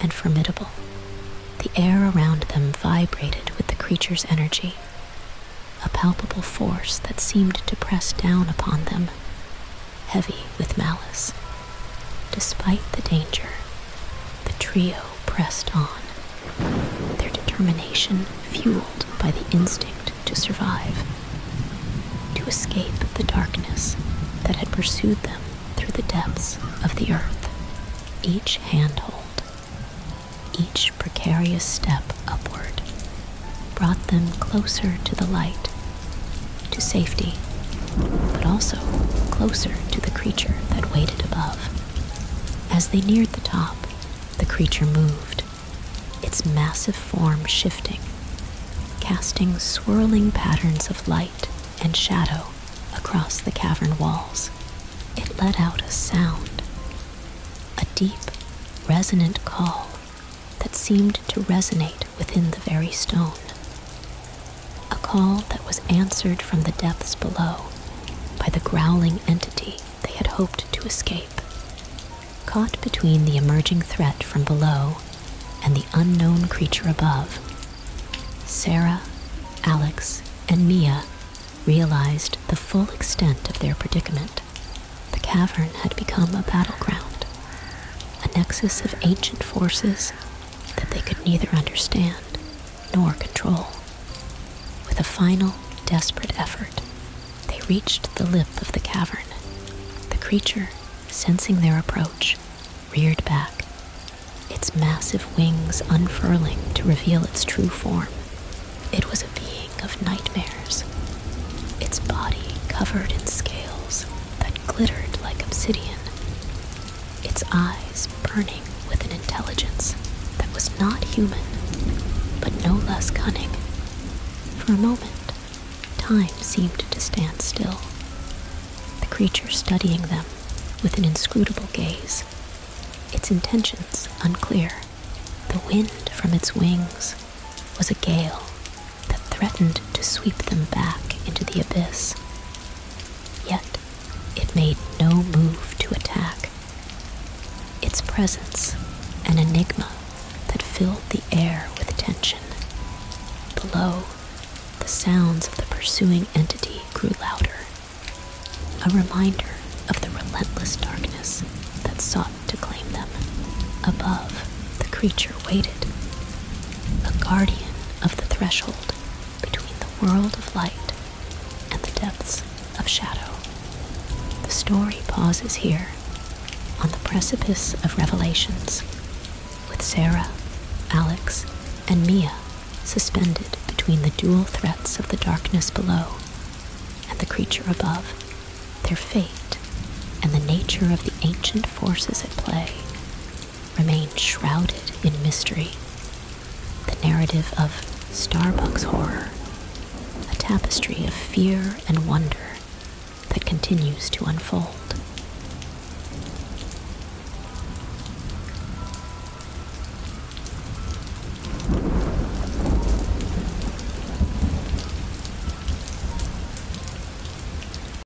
and formidable. The air around them vibrated with the creature's energy, a palpable force that seemed to press down upon them heavy with malice. Despite the danger, the trio pressed on, their determination fueled by the instinct to survive, to escape the darkness that had pursued them through the depths of the earth. Each handhold, each precarious step upward, brought them closer to the light to safety, but also closer to the creature that waited above. As they neared the top, the creature moved, its massive form shifting, casting swirling patterns of light and shadow across the cavern walls. It let out a sound, a deep, resonant call that seemed to resonate within the very stone. A call that was answered from the depths below by the growling entity they had hoped to escape. Caught between the emerging threat from below and the unknown creature above, Sarah, Alex, and Mia realized the full extent of their predicament. The cavern had become a battleground, a nexus of ancient forces that they could neither understand nor control. With a final, desperate effort, they reached the lip of the cavern. The creature, sensing their approach, reared back, its massive wings unfurling to reveal its true form. It was a being of nightmares, its body covered in scales that glittered like obsidian, its eyes burning with an intelligence that was not human, but no less cunning. For a moment, time seemed to stand still, the creature studying them with an inscrutable gaze, its intentions unclear. The wind from its wings was a gale that threatened to sweep them back into the abyss. Yet, it made no move to attack. Its presence, an enigma that filled the air with tension. Below, the sounds of the pursuing entity grew louder, a reminder of the relentless darkness that sought to claim them. Above, the creature waited, the guardian of the threshold between the world of light and the depths of shadow. The story pauses here, on the precipice of revelations, with Sarah, Alex, and Mia suspended between the dual threats of the darkness below and the creature above, their fate and the nature of the ancient forces at play remain shrouded in mystery. The narrative of Starbucks horror, a tapestry of fear and wonder that continues to unfold.